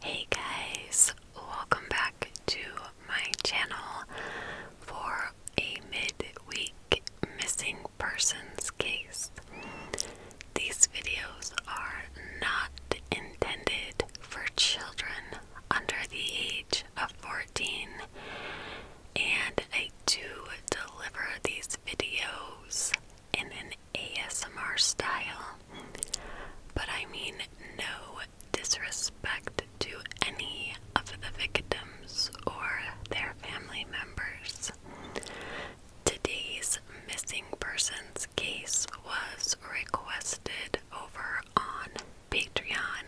Hey guys, welcome back to my channel for a midweek missing persons case. These videos are not intended for children under the age of 14, and I do deliver these videos in an ASMR style. But I mean, no disrespect to any of the victims or their family members. Today's missing persons case was requested over on Patreon,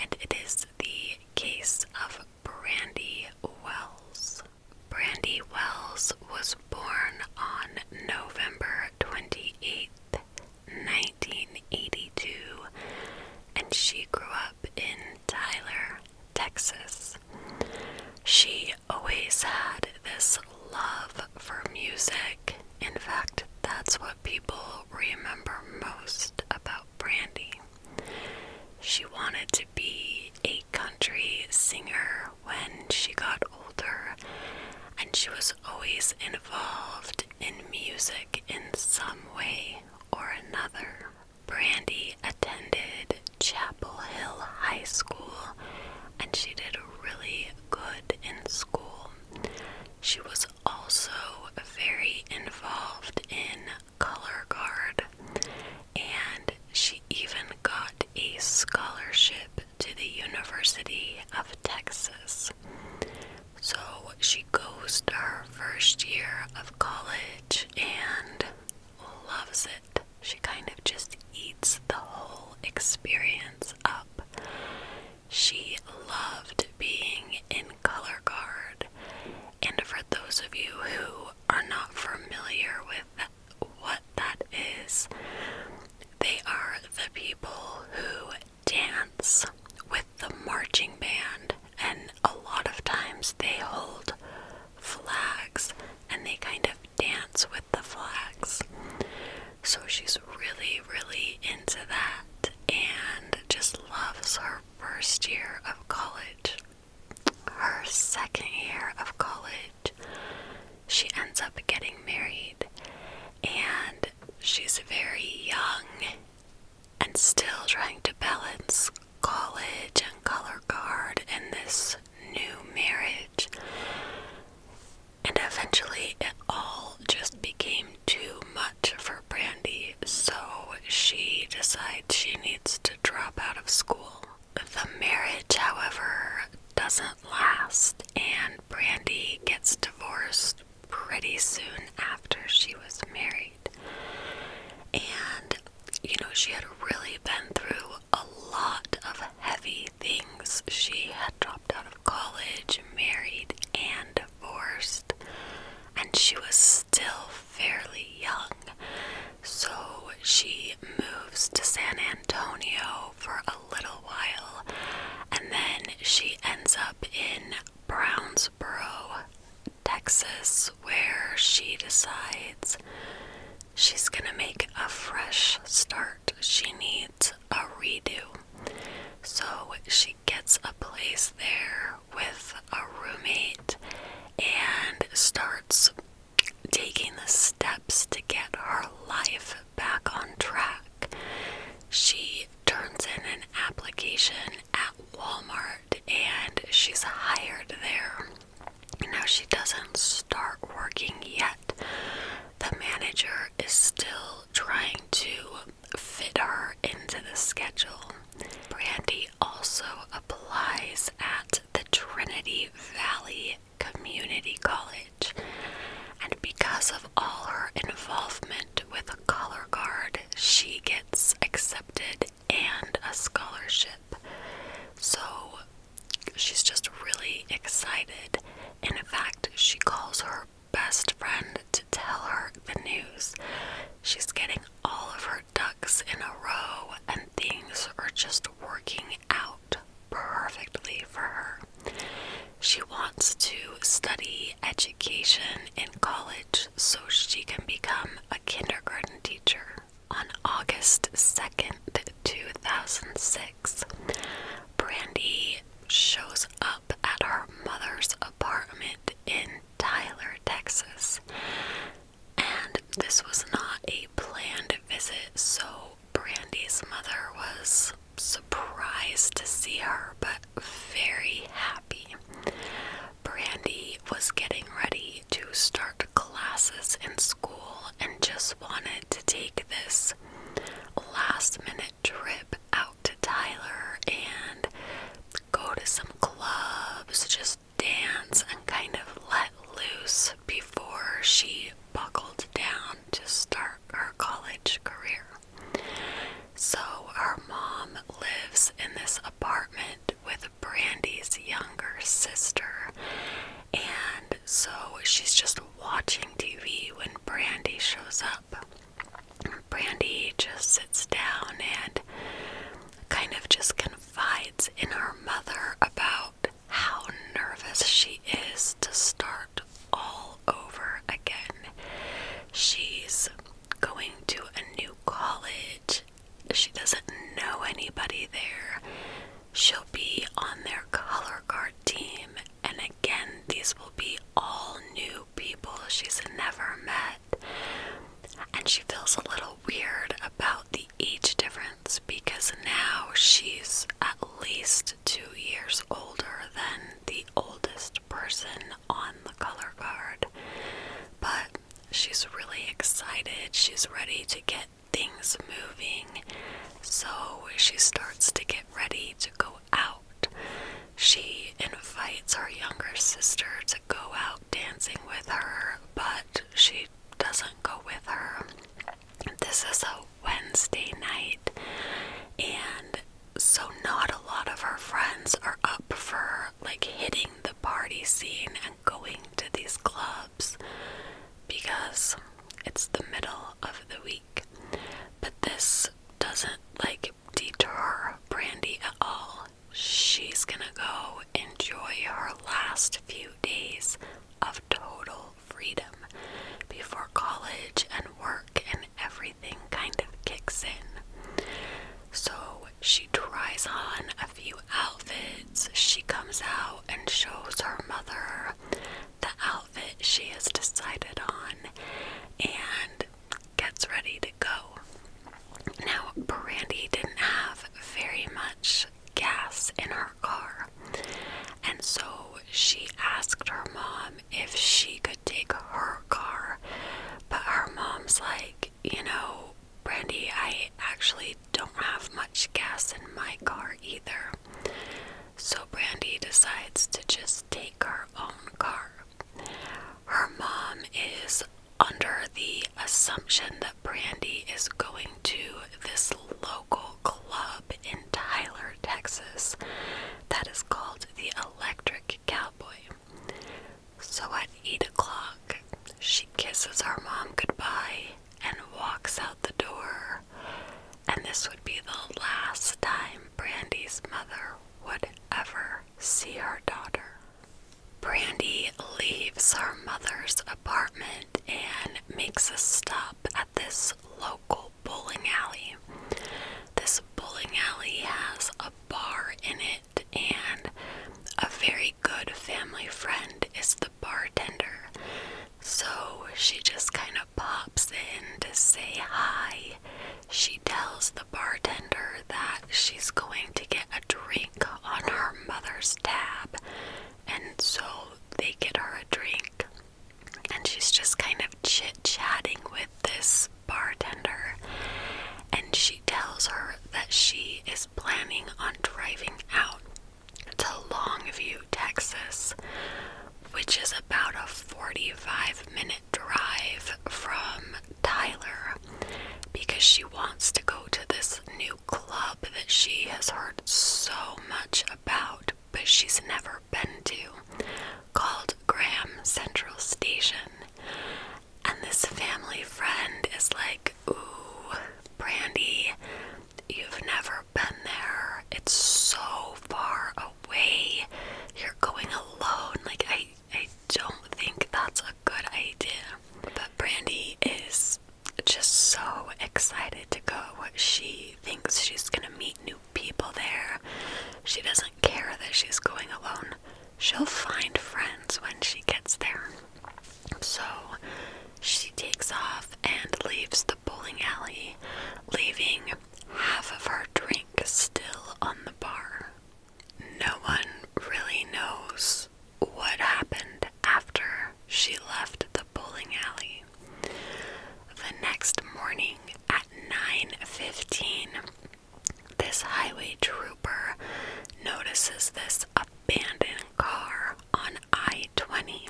and it is the case of Brandy Wells. Brandy Wells was born on November 28, 1982, and she grew up in Tyler, Texas. She always had this love for music. In fact, that's what people remember most about Brandy. She wanted to be a country singer when she got older, and she was always involved in music in some way or another. Brandy attended Chapel Hill High School and she did really good in school. She was also very involved in color guard and she even got a scholarship to the University of Texas. So she goes to her first year of college and loves it. She kind of just eats the whole experience up. She loved being in color guard. And for those of you who are not familiar with what that is. They are the people who dance with the marching band, and a lot of times they hold flags and they kind of dance with the flags. So she's really, really into that and just loves her first year of college. Her second year of college she ends up getting married, and she's very young and still trying to balance college and color guard and this new marriage. And eventually, it all just became too much for Brandy, so she decides she needs to drop out of school. The marriage, however, doesn't last, and Brandy gets divorced pretty soon after she was married. And, you know, she had really been through a lot of heavy things. She had dropped out of college, married, and divorced, and she was still fairly young. So she moves to San Antonio for a little while, and then she ends up in Brownsboro, Texas, where she decides she's gonna make a fresh start. She needs a redo. So she gets a place there with a roommate and starts taking the steps to get her life back on track. She turns in an application at Walmart and she's hired there. Now she doesn't start working yet. The manager is still trying to fit her into the schedule. Brandy also applies at the Trinity Valley community college, and because of all her involvement with the color guard, she gets accepted and a scholarship. So she's just really excited. And in fact, she calls her best friend to tell her the news. She's getting all of her ducks in a row, and things are just working out perfectly for her. She wants to study education in college so she can become a kindergarten teacher. On August 2nd, 2006, Brandy shows up at her mother's apartment in Tyler, Texas. And this was not a planned visit, so Brandy's mother was surprised to see her, but very happy. Brandy was getting ready to start classes in school and just wanted to take this last minute trip out to Tyler and go to some clubs, just dance and kind of let loose before she buckled down to start her college career. So our mom lives in this apartment with Brandy's younger sister, and so she's just watching TV when Brandy shows up. Brandy just sits down and kind of just confides in her mother about how nervous she is to start all over again. She's going to a new college. She doesn't know anybody there. She'll be on their color guard team, and again, these will be all new people she's never met. And she feels a little weird about the age difference because now she's at least two years older than the oldest person on the color card. But she's really excited, she's ready to get things moving, so she starts to get ready to go out. She invites her younger sister to go out dancing with her, but she doesn't go with her. This is a Wednesday night, and so not a lot of her friends are up for like hitting the party scene and going to these clubs because it's the middle of the week. But this doesn't like deter Brandy at all. She's gonna go enjoy her last few days of total freedom before college and work and everything kind of kicks in. So she tries on a few outfits. She comes out and shows her mother the outfit she has decided on and gets ready to go. Now, Brandy didn't have very much gas in her car. And so she asked her mom if she could take her car. But her mom's like, you know, Brandy, I actually don't have much gas in my car either. So Brandy decides to just take her own car. Her mom is under the assumption that Brandy is going to this local club in Tyler, Texas, that is called the Electric Cowboy. So at 8 o'clock, she kisses our mom goodbye and walks out the door. And this would be the last time Brandy's mother would ever see her daughter. Brandy leaves her mother's apartment and makes a stop at this local bowling alley. This bowling alley has a bar in it, and a very good family friend is the bartender. So she just kind of pops in to say hi. She tells the bartender that she's going to get a drink on her mother's tab and so they get her a drink, and she's just kind of chit chatting with this bartender. And she tells her that she is planning on driving out to Longview, Texas, which is about a 45 minute drive from Tyler because she wants to go to this new club that she has heard so much about but she's never been to called Graham Central Station. And this family friend is like, Ooh, Brandy, you've never been there. It's so far away. You're going alone. Like, I, I don't think that's a good idea. But Brandy is just so excited to go. She thinks she's going to meet new people there. She doesn't care that she's going alone. She'll find friends when she gets there. So she takes off and leaves the bowling alley, leaving half of her drink still on the bar. No one really knows what happened after she left the bowling alley. The next morning at 9:15, this highway trooper notices this abandoned car on I-20.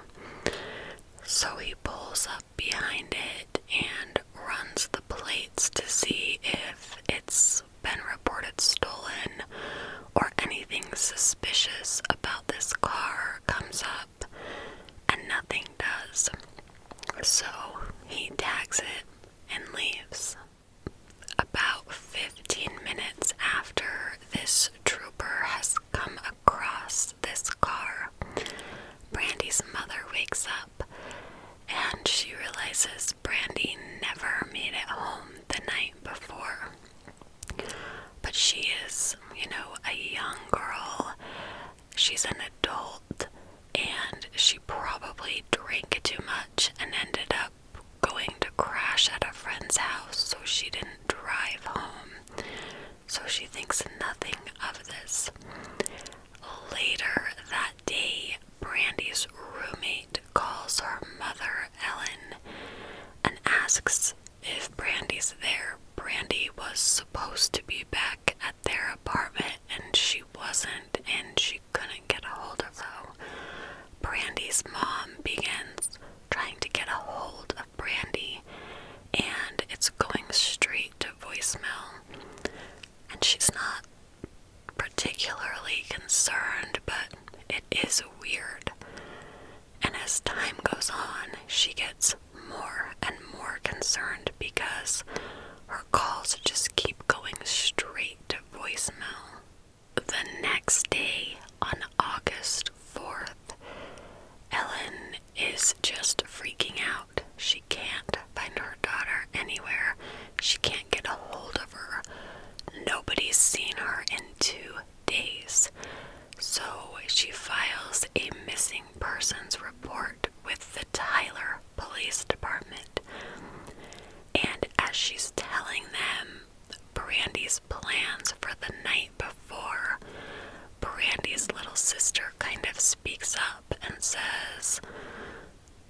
So he pulls up behind it and runs the plates to see if it's been reported stolen or anything suspicious about this car comes up, and nothing does. So he tags it and leaves. About 15 minutes after this trooper has come across this car, Brandy's mother wakes up and she realizes Brandy never made it home the night before. But she is, you know, a young girl. She's an adult and she probably drank too much and ended up going to crash at a friend's house so she didn't drive home. So she thinks nothing of this. Later that day, Brandy's roommate calls her mother, Ellen, and asks if Brandy's there, Brandy was supposed to be back at their apartment and she wasn't and she couldn't get a hold of her. Brandy's mom begins trying to get a hold of Brandy and it's going straight to voicemail. And she's not particularly concerned, but it is weird. And as time goes on, she gets more and more concerned because her calls just keep going straight to voicemail. The next day, on August 4th, Ellen is just freaking out. She can't find her daughter anywhere. She can't get a hold of her. Nobody's seen her in two days. So she files a missing persons report with the Tyler Police Department. And as she's telling them Brandi's plans for the night before, Brandi's little sister kind of speaks up and says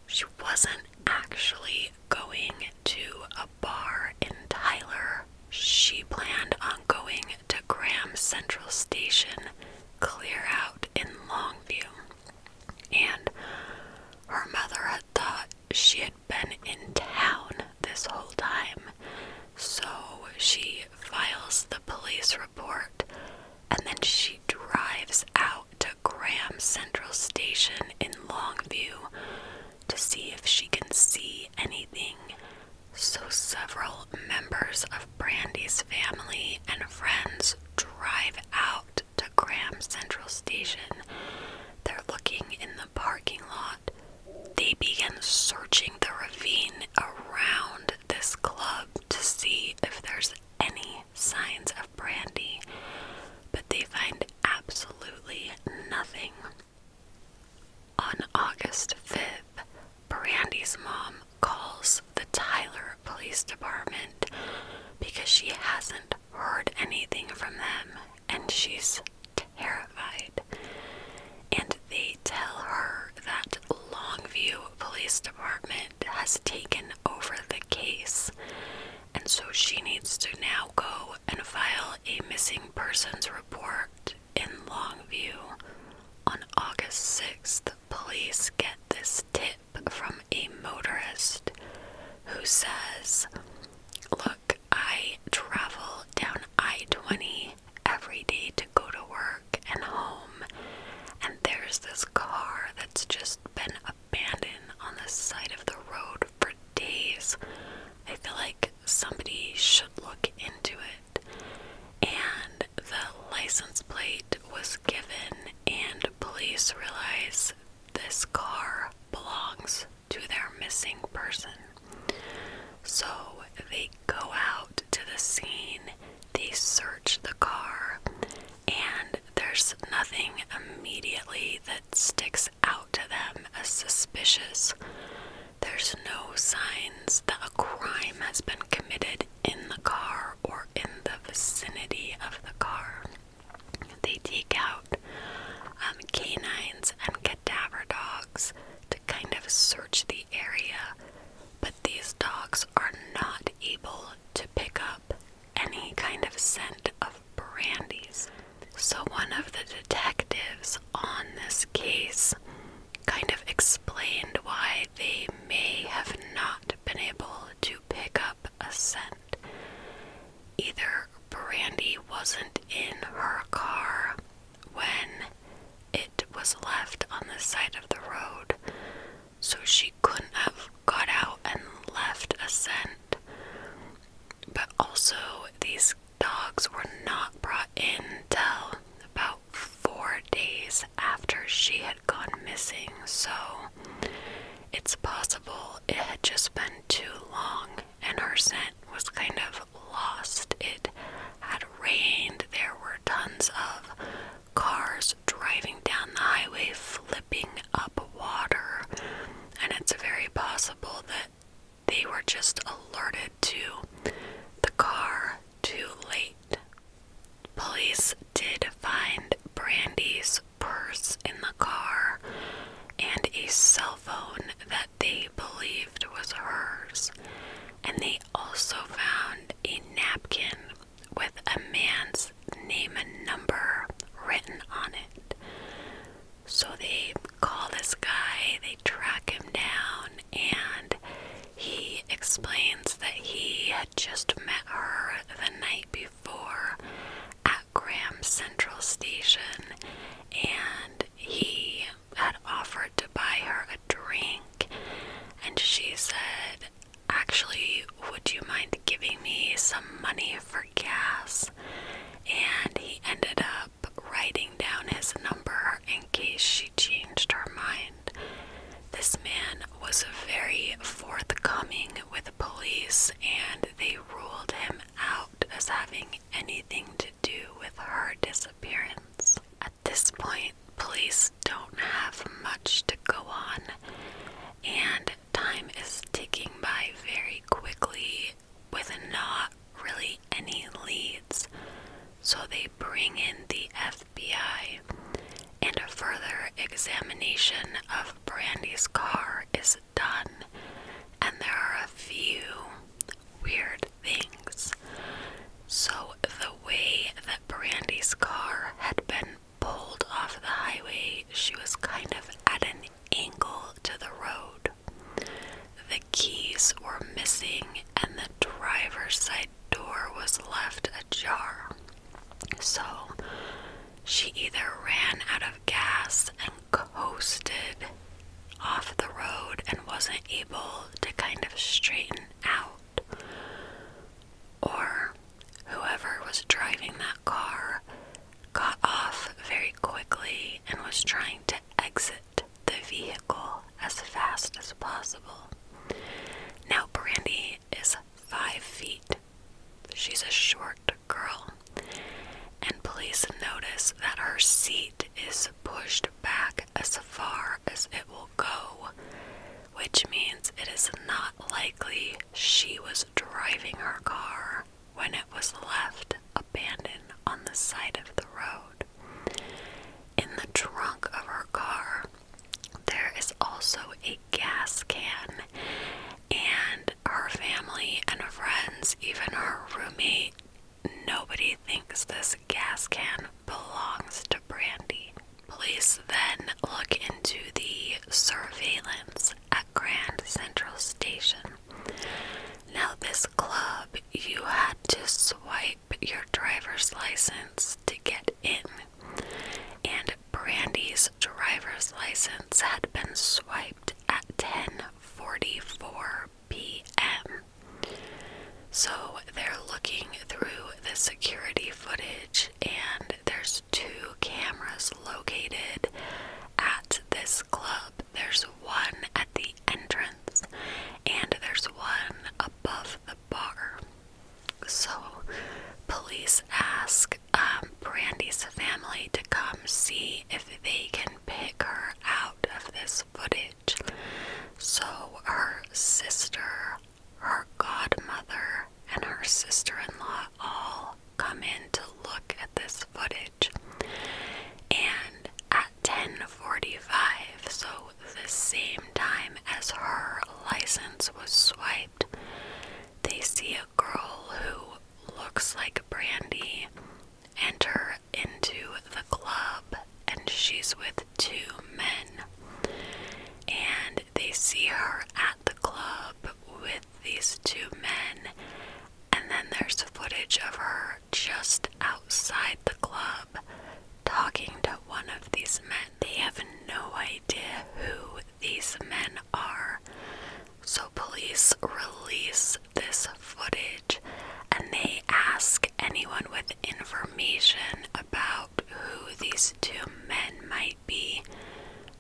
she wasn't actually going to bar in Tyler. She planned on going to Graham Central Station, clear out in Longview. And her mother had thought she had been in town this whole time, so she files the police report and then she drives out to Graham Central Station in Longview to see if she can see anything. So, several members of Brandy's family and friends drive out to Graham Central Station. They're looking in the parking lot. They begin searching the ravine around this club to see if there's any signs of Brandy, but they find absolutely nothing. On August 5th, Brandy's mom calls the Tyler Police Department because she hasn't heard anything from them and she's terrified. And they tell her that Longview Police Department has taken over the case, and so she needs to now go and file a missing persons report in Longview. On August 6th, police get this tip from a motorist who says, Look, I travel down I 20 every day to go to work and home, and there's this car that's just been abandoned on the side of the road for days. I feel like somebody should look into it. And the license plate was given, and police realize this car belongs to their missing person. So they go out to the scene, they search the car, and there's nothing immediately that sticks out to them as suspicious. There's no signs that a crime has been committed in the car or in the vicinity of the car. They take out um, canines and cadaver dogs to kind of search the area, but these dogs are not able to pick up any kind of scent of brandies. So, one of the detectives on this case kind of explained why they may have not been able to pick up a scent. Either Brandy wasn't in her car when it was left on the side of the road, so she couldn't have got out and left a scent, but also, these dogs were not brought in till about four days after she had gone missing, so it's possible it had just been too long and her scent was kind of lost. It had rained, there were tons of cars driving down the highway, flipping up water, and it's very possible that they were just alerted to the car too late. Police did find Brandy's purse in the car and a cell phone that they believed was hers, and they also found a napkin with a man's name and number written on it. So they call this guy, they track him down, and he explains that he had just met her the night before at Graham Central Station and he had offered to buy her a drink. And she said, Actually, would you mind giving me some money for gas? And he ended up up writing down his number in case she changed her mind. This man was very forthcoming with police, and they ruled him out as having anything to do with her disappearance. At this point, police don't have much to go on, and time is ticking by very quickly with not really any leads, so they bring in the FBI. And a further examination of Brandy's car is done, and there are a few weird things. So, the way that Brandy's car had been pulled off the highway, she was kind of at an angle to the road. The keys were missing, and the driver's side door was left ajar. So she either ran out of gas and coasted off the road and wasn't able to kind of straighten out, or whoever was driving that car got off very quickly and was trying to exit the vehicle as fast as possible. Now, Brandy is five feet. She's a short girl, and police notice that her seat is pushed back as far as it will go, which means it is not likely she was driving her car when it was left abandoned on the side of the road. In the trunk of her car, there is also a gas can, and her family and friends, even her roommate, nobody thinks this gas can belongs to Brandy. Please then look into the surveillance at Grand Central Station now, this club, you had to swipe your driver's license to get in, and Brandy's driver's license had been swiped at 10:44 p.m. So they're looking through the security footage, and there's two cameras located at this club. There's one at the entrance, and there's one above the bar. So, police ask um, Brandy's family to come see if they can pick her out of this footage. So, her sister, her godmother, and her sister in law all come in to look at this footage. And at 10:45, so the same time as her license was swiped, they see a girl who looks like Brandy enter into the club and she's with two men. And they see her at the club with these two men and then there's footage of her just outside the club talking to one of these men. They have no idea who these men are. So, police release this footage and they ask anyone with information about who these two men might be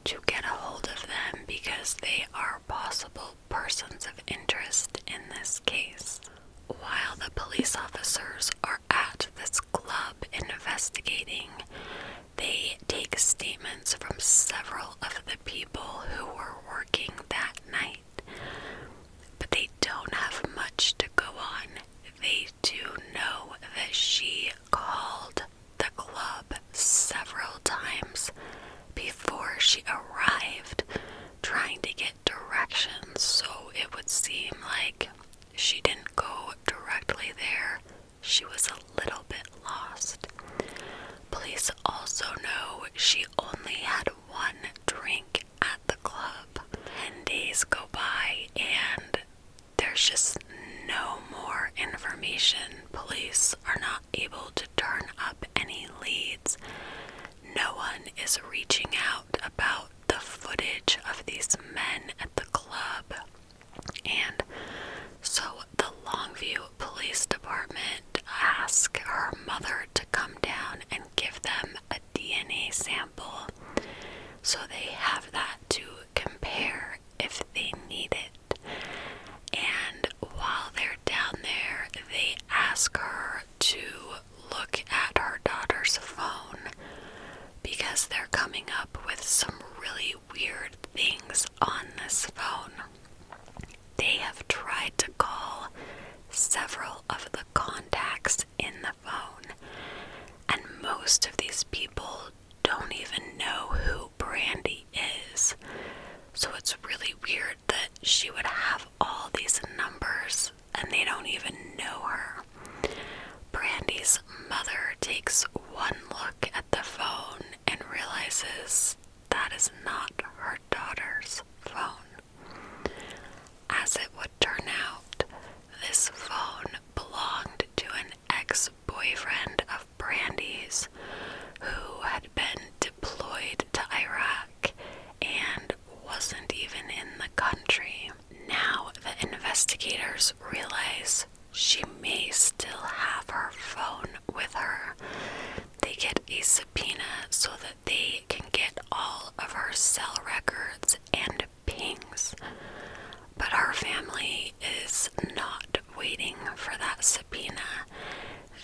to get a hold of them because they are possible persons of interest in this case. While the police officers are at this club investigating, they take statements from several of the people who were working that night. But they don't have much to go on. They do know that she called the club several times before she arrived, trying to get directions. So it would seem like she didn't go directly there, she was a little bit lost. Police also know she only had one drink at the club. Ten days go by, and there's just no more information. Police are not able to turn up any leads. No one is reaching out about the footage of these men at the club. And so the Longview Police Department ask her mother to come down and give them a DNA sample so they have that to compare if they need it. And while they're down there, they ask her to look at her daughter's phone because they're coming up with some really weird things on this phone. They have tried to call several of the contacts in the phone, and most of these people don't even know who Brandy is. So it's really weird that she would have all these numbers and they don't even know her. Brandy's mother takes one look at the phone and realizes that is not her daughter's phone. As it would turn out, this phone belonged to an ex boyfriend of Brandy's who had been deployed to Iraq and wasn't even in the country. Now the investigators realize she may still have her phone with her. They get a subpoena so that they can get all of her cell records and pings. But her family is not waiting for that subpoena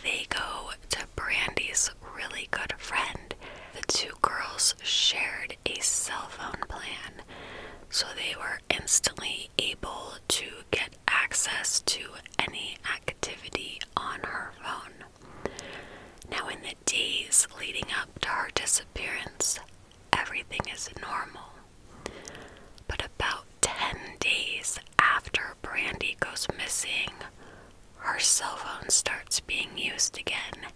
they go to Brandy's really good friend. The two girls shared a cell phone plan, so they were instantly able to get access to any activity on her phone. Now, in the days leading up to her disappearance, everything is normal. But about 10 days after Brandy goes missing, her cell phone starts being used again.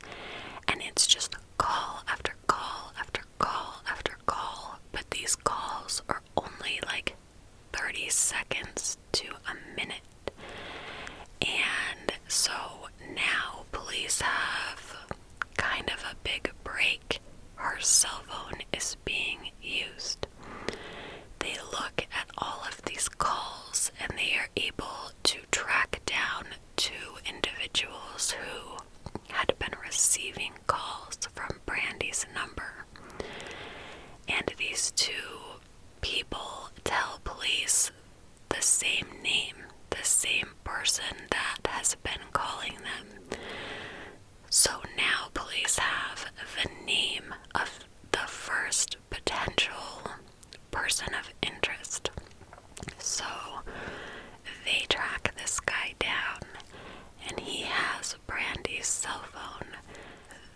And it's just call after call after call after call. But these calls are only like 30 seconds to a minute. And so now police have kind of a big break. Her cell phone is being used. They look at all of these calls and they are able to track down two individuals who had been receiving calls from Brandy's number. And these two people tell police the same name, the same person that has been calling them. So now police have the name of the first potential person of interest. So they track this guy down, and he has Brandy's cell phone.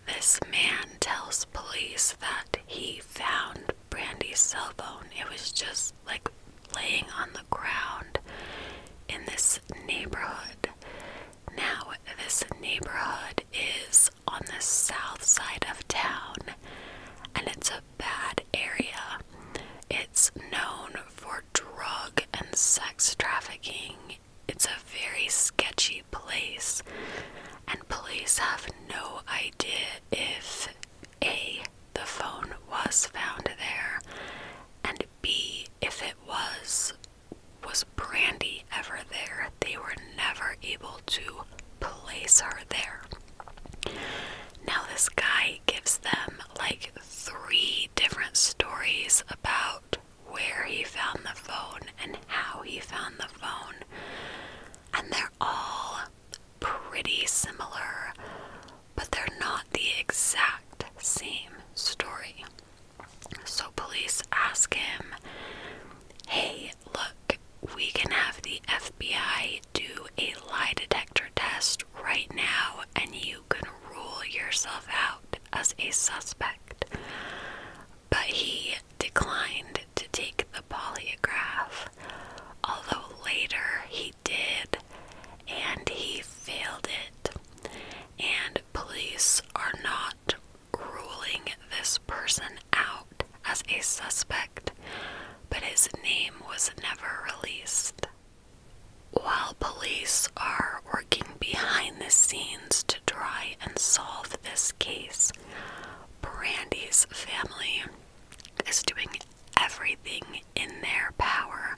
This man tells police that he found Brandy's cell phone. It was just like laying on the ground in this neighborhood. Now, this neighborhood is on the south side of town and it's a bad area. It's known for drug and sex trafficking. It's a very sketchy place, and police have no idea if A, the phone was found there, and B, if it was was Brandy ever there? They were never able to place her there. Now, this guy gives them like three different stories about where he found the phone and how he found the phone, and they're all pretty similar, but they're not the exact same story. So police ask him, Hey, look, we can have the FBI do a lie detector test right now, and you can rule yourself out as a suspect. But he declined to take the polygraph, although later he did, and he failed it. And police are not ruling this person out as a suspect, but his name was never released. While police are working behind the scenes to try and solve this case, Brandy's family is doing everything in their power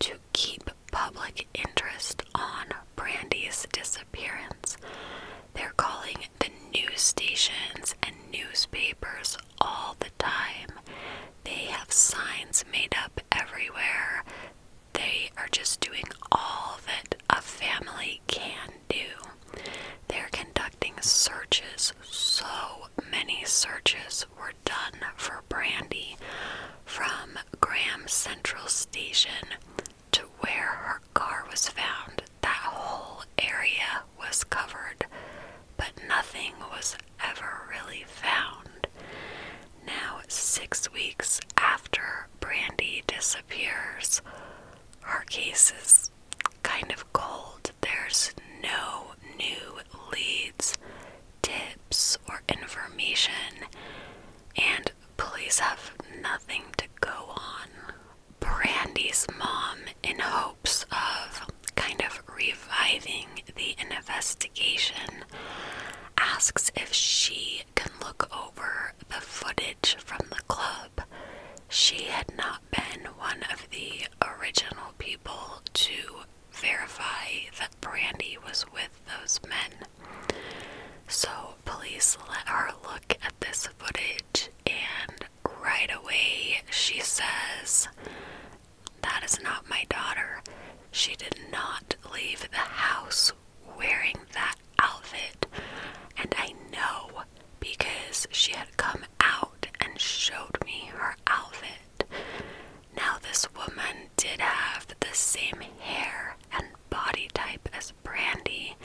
to keep public interest on Brandy's disappearance. They're calling the news stations and newspapers all the time. They have signs made up everywhere. They are just doing all that a family can do. They're conducting searches. So many searches were done for Brandy from Graham Central Station to where her car was found, that whole area was covered, but nothing was ever really found. Now, six weeks after Brandy disappears, our case is kind of cold. There's no new leads, tips, or information, and Police have nothing to go on. Brandy's mom, in hopes of kind of reviving the investigation, asks if she can look over the footage from the club. She had not been one of the original people to verify that Brandy was with those men. So, police let her look at this footage, and right away she says, That is not my daughter. She did not leave the house wearing that outfit. And I know because she had come out and showed me her outfit. Now, this woman did have the same hair and body type as Brandy,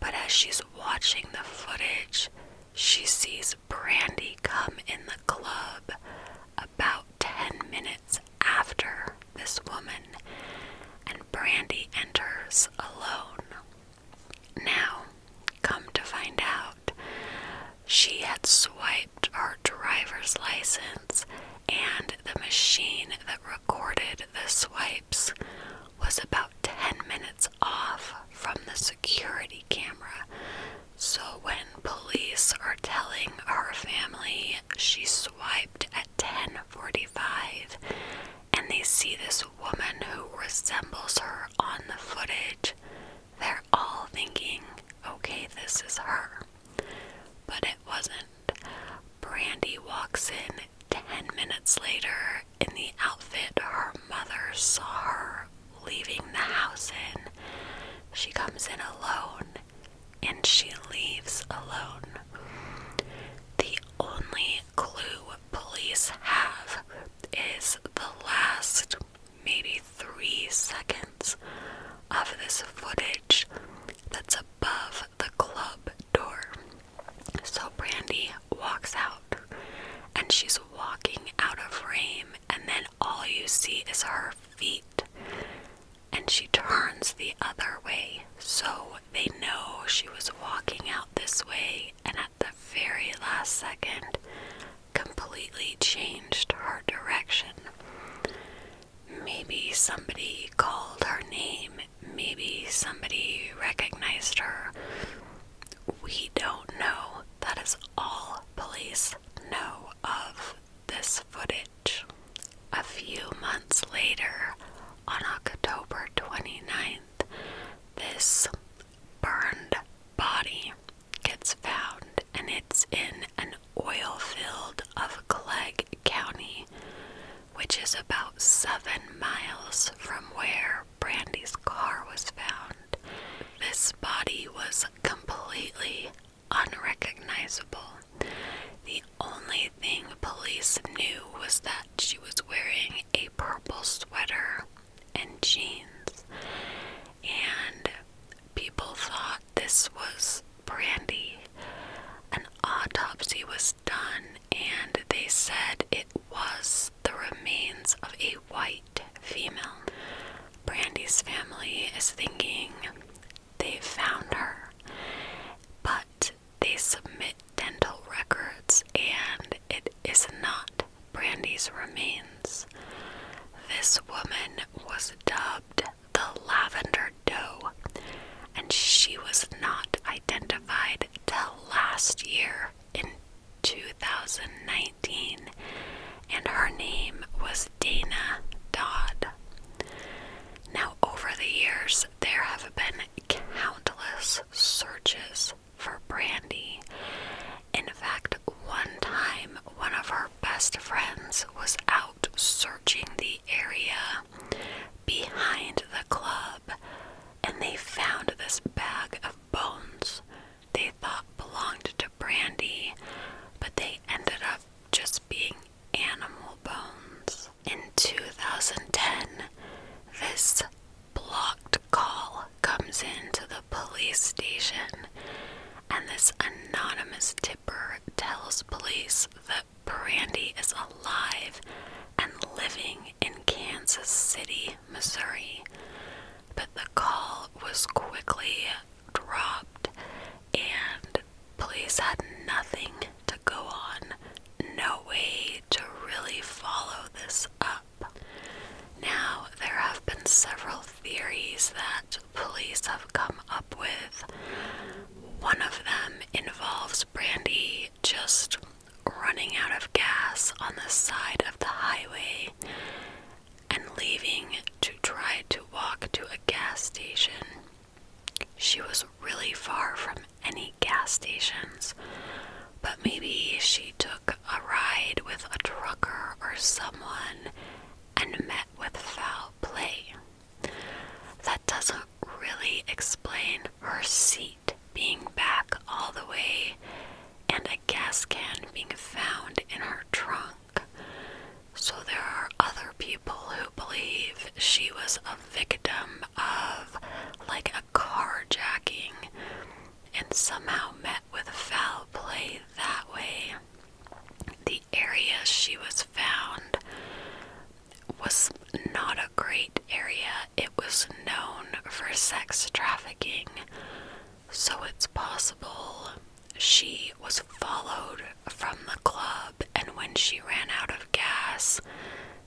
but as she's watching the footage, she sees Brandy come in the club about 10 minutes after this woman, and Brandy enters alone. Now, come to find out, she had swiped our driver's license and the machine that recorded the swipes was about 10 minutes off from the security camera. So when police are telling her family she swiped at 10:45 and they see this woman who resembles her on the footage, they're all thinking, "Okay, this is her." But it wasn't. Brandy walks in ten minutes later in the outfit her mother saw her leaving the house in. She comes in alone and she leaves alone. The only clue police have is the last maybe three seconds of this footage that's above the club door. So Brandy walks out and she's walking out of frame, and then all you see is her feet, and she turns the other way. So they know she was walking out this way, and at the very last second, completely changed her direction. Maybe somebody called her name. Maybe somebody recognized her. We don't know. That is all police know of this footage. A few months later, on October 29th, this burned body gets found and it's in an oil field of Clegg County, which is about seven miles from where Brandy's car was found. This body was completely unrecognizable. The only thing police knew was that she was wearing a purple sweater and jeans, and people thought this was brandy. An autopsy was done, and they said it was the remains of a white female. Brandy's family is thinking they found her, but they submit dental records and it is not Brandy's remains. This woman was dubbed the lavender dough, and she was not identified till last year in 2019, and her name was Dana Dodd. Now, over the years, there have been countless searches for Brandy. In fact, one time, one of her best friends was out searching the area behind the club and they found this bag of bones they thought belonged to Brandy, but they ended up just being animal bones. In 2010, this blocked call comes in to the police station, and this anonymous tipper tells police that. Brandy is alive and living in Kansas City, Missouri. But the call was quickly dropped, and police had nothing to go on, no way to really follow this up. Now, there have been several theories that police have come up with. One of them involves Brandy just running out of gas on the side of the highway and leaving to try to walk to a gas station. She was really far from any gas stations, but maybe she took a ride with a trucker or someone and met with foul play. That doesn't really explain her seat being back all the way and a gas can being found in her trunk. So there are other people who believe she was a victim of like a carjacking and somehow met with foul play that way. The area she was found was not a great area. It was known for sex trafficking, so it's possible she was followed from the club, and when she ran out of gas,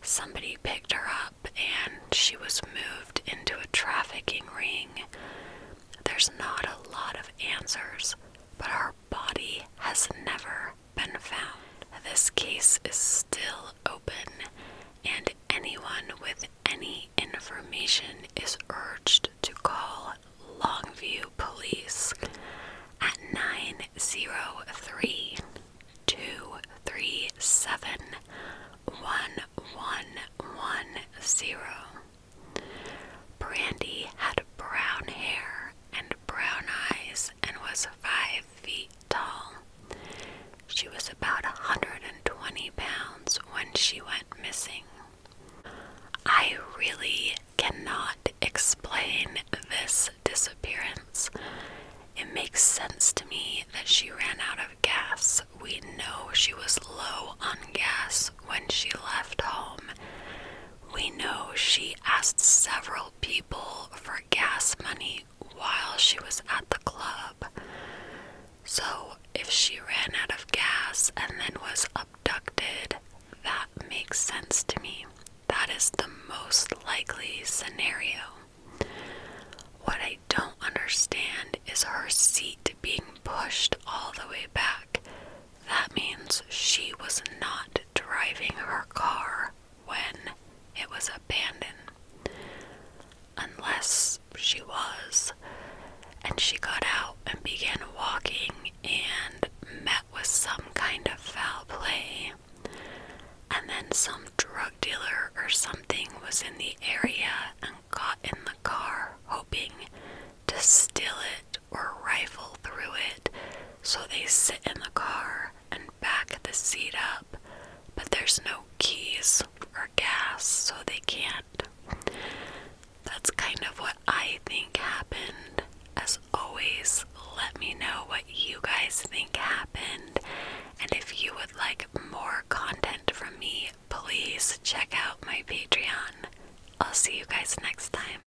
somebody picked her up and she was moved into a trafficking ring. There's not a lot of answers, but our body has never been found. This case is still open, and anyone with any information is urged to call Longview Police at 903 237 1110. Brandy had brown hair and brown eyes and was five feet tall. She was about 120 pounds when she went missing. I really cannot explain this disappearance. It makes sense to me that she ran out of gas. We know she was low on gas when she left home. We know she asked several people for gas money while she was at the club. So, if she ran out of gas and then was abducted, that makes sense to me. That is the most likely scenario. What I don't understand is her seat being pushed all the way back. That means she was not driving her car when it was abandoned. Unless she was. And she got out and began walking and met with some kind of foul play. And then some drug dealer or something was in the area and got in the car hoping to steal it or rifle through it, so they sit in the car and back the seat up, but there's no keys or gas, so they can't. That's kind of what I think happened. As always, let me know what you guys think happened, and if you would like more content from me, please check out my Patreon. I'll see you guys next time.